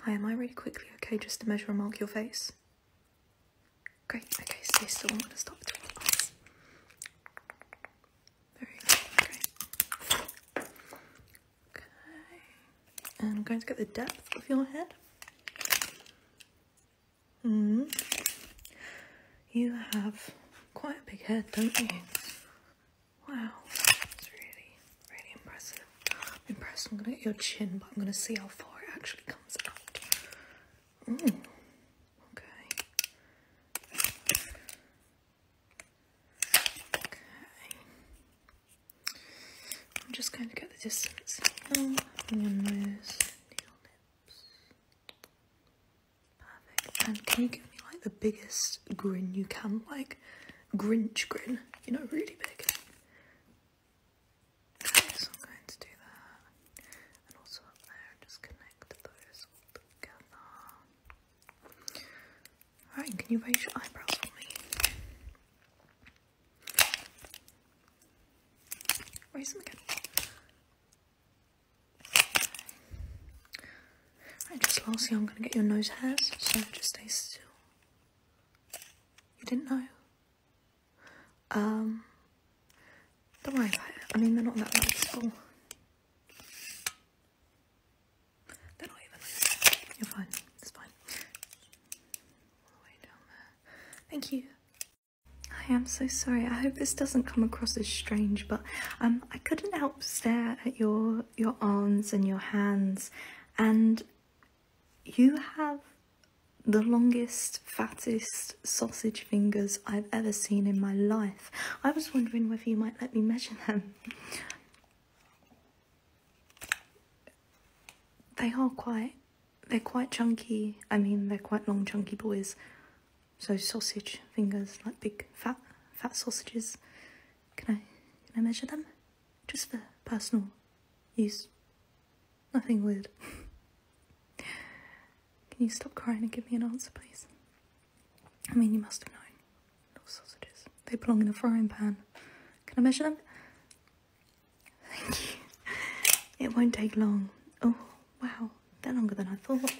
Hi, am I ready quickly okay just to measure and mark your face? Great, okay, so I'm going to stop between your Very good, okay. And I'm going to get the depth of your head. Mm. You have quite a big head, don't you? Wow, that's really, really impressive. I'm impressed. I'm gonna get your chin, but I'm gonna see how far it actually comes out. Mm. okay. Okay. I'm just going to get the distance now. One nose, needle nips. Perfect. And can you give me like the biggest grin you can, like? Grinch grin, you know, really big. So I'm going to do that. And also up there, just connect those all together. Alright, can you raise your eyebrows for me? Raise them again. Right, just lastly, I'm going to get your nose hairs, so just stay still. You didn't know? Um, don't worry about it. I mean, they're not that bad at school. They're even You're fine. It's fine. All the way down there. Thank you. I am so sorry. I hope this doesn't come across as strange, but um, I couldn't help stare at your your arms and your hands and you have the longest, fattest sausage fingers I've ever seen in my life. I was wondering whether you might let me measure them. They are quite, they're quite chunky. I mean, they're quite long, chunky boys. So sausage fingers, like big, fat, fat sausages. Can I, can I measure them? Just for personal use. Nothing weird. can you stop crying and give me an answer, please? I mean, you must have known. Little sausages. They belong in a frying pan. Can I measure them? Thank you. It won't take long. Oh, wow. They're longer than I thought.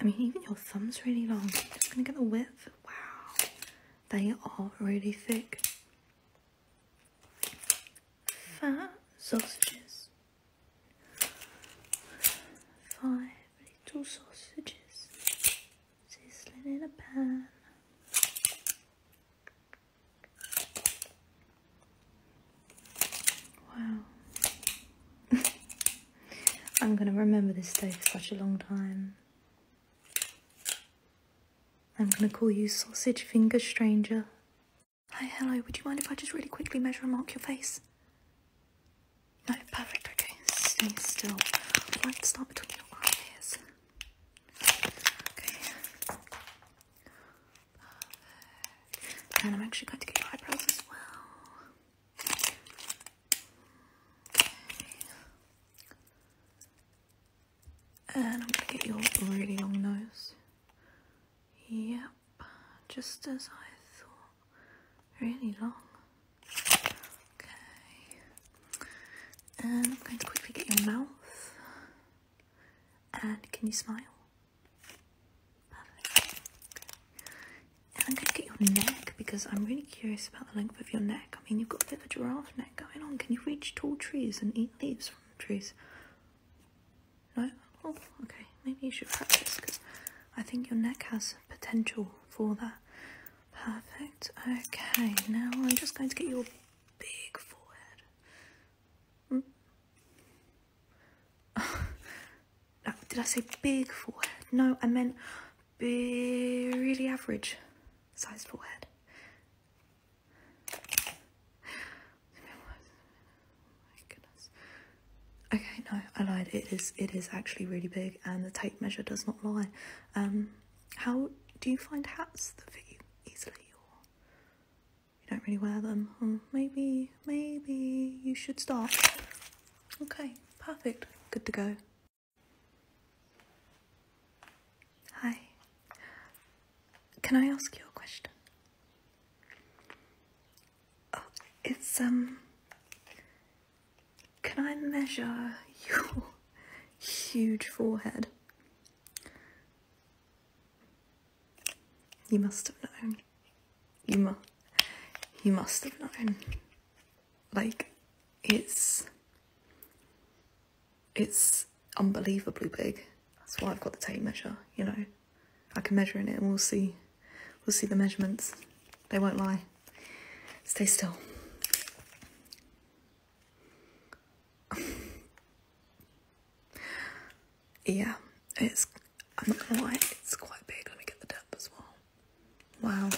I mean, even your thumb's really long. I'm gonna get the width. Wow. They are really thick. Fat sausages. Five little sausages sizzling in a pan. Wow. I'm going to remember this day for such a long time. I'm going to call you Sausage Finger Stranger. Hi, hello, would you mind if I just really quickly measure and mark your face? No, perfect, okay. Stay still. i like to start between your eyes. Okay. And I'm actually going to get your eyebrows as well. And I'm going to get your really long nose. Yep, just as I thought. Really long. Okay. And I'm going to quickly get your mouth. And can you smile? Perfect. I'm going to get your neck because I'm really curious about the length of your neck. I mean, you've got a bit of a giraffe neck going on. Can you reach tall trees and eat leaves from trees? No? Oh, okay. Maybe you should practice because I think your neck has potential for that. Perfect. Okay, now I'm just going to get your big forehead. Mm. did I say big forehead? No, I meant big, really average sized forehead. Oh okay, no, I lied. It is it is actually really big, and the tape measure does not lie. Um, how do you find hats that fit you easily? you don't really wear them. Or oh, maybe, maybe you should stop. Okay, perfect. Good to go. Hi. Can I ask you a question? Oh, it's, um, can I measure your huge forehead? You must have known. You must. You must have known. Like, it's. It's unbelievably big. That's why I've got the tape measure. You know, I can measure in it, and we'll see. We'll see the measurements. They won't lie. Stay still. yeah, it's, I'm not gonna lie, it's quite big. Let me get the depth as well. Wow.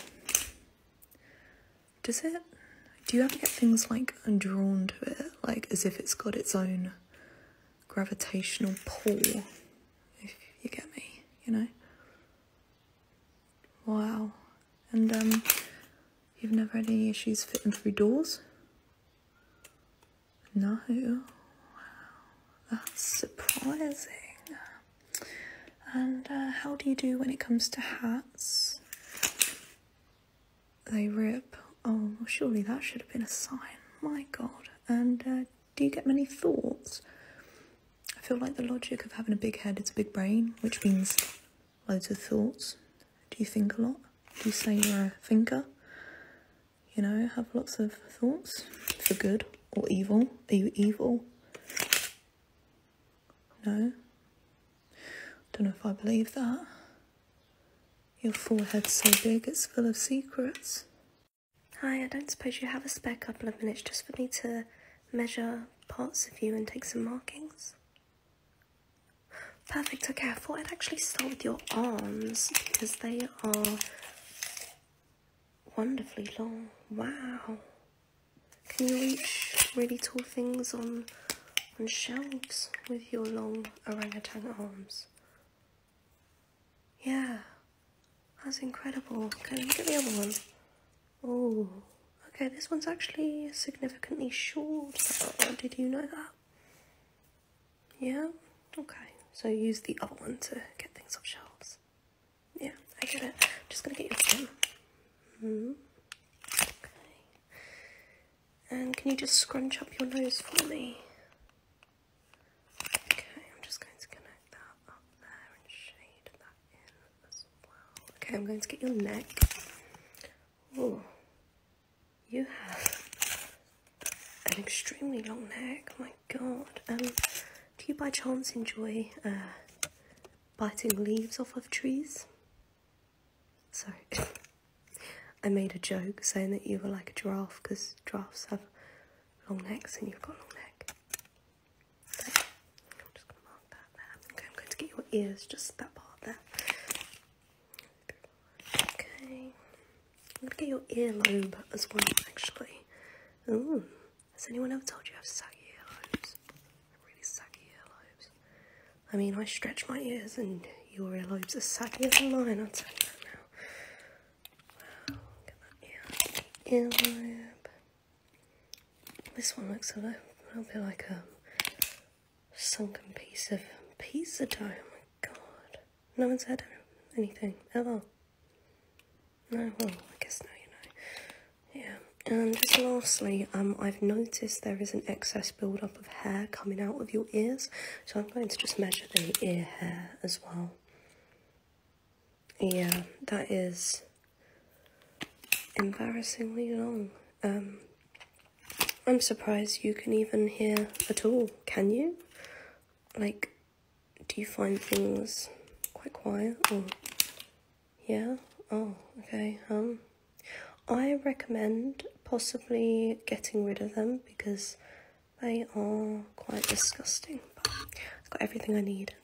Does it, do you ever get things like drawn to it, like as if it's got its own gravitational pull, if you get me, you know? Wow. And um, You've never had any issues fitting through doors? No. Wow. That's surprising. And uh, how do you do when it comes to hats? They rip. Oh, surely that should have been a sign. My God. And uh, do you get many thoughts? I feel like the logic of having a big head is a big brain, which means loads of thoughts? Do you think a lot? Do you say you're a thinker? You know, have lots of thoughts for good or evil? Are you evil? No? Don't know if I believe that. Your forehead's so big it's full of secrets. Hi, I don't suppose you have a spare couple of minutes just for me to measure parts of you and take some markings? Perfect, okay, I thought I'd actually start with your arms because they are wonderfully long. Wow. Can you reach really tall things on on shelves with your long orangutan arms? Yeah. That's incredible. Okay, look at the other one. Oh, okay, this one's actually significantly short. Did you know that? Yeah? Okay, so use the other one to get things off shelves. Yeah, I get it. just gonna get your skin. Hmm. Okay. And can you just scrunch up your nose for me? Okay, I'm just going to connect that up there and shade that in. Okay, I'm going to get your neck. Oh, you have an extremely long neck. Oh my god. Um, do you by chance enjoy uh, biting leaves off of trees? Sorry. I made a joke saying that you were like a giraffe because giraffes have long necks and you've got a long neck. I'm just going to mark that Okay, I'm going to get your ears, just that part there. Okay. I'm going to get your earlobe as well, actually. Has anyone ever told you I have saggy earlobes? Really saggy earlobes. I mean, I stretch my ears and your earlobes are saggier as mine, I'll tell you now. Earlobe. This one looks a little, bit like a sunken piece of pizza dough. Oh my god. No one said anything ever. No, well, I guess now you know. Yeah. And just lastly, um, I've noticed there is an excess buildup of hair coming out of your ears. So I'm going to just measure the ear hair as well. Yeah, that is embarrassingly long. Um, I'm surprised you can even hear at all, can you? Like, do you find things quite quiet Yeah? Oh, okay. Um, I recommend possibly getting rid of them because they are quite disgusting. But I've got everything I need.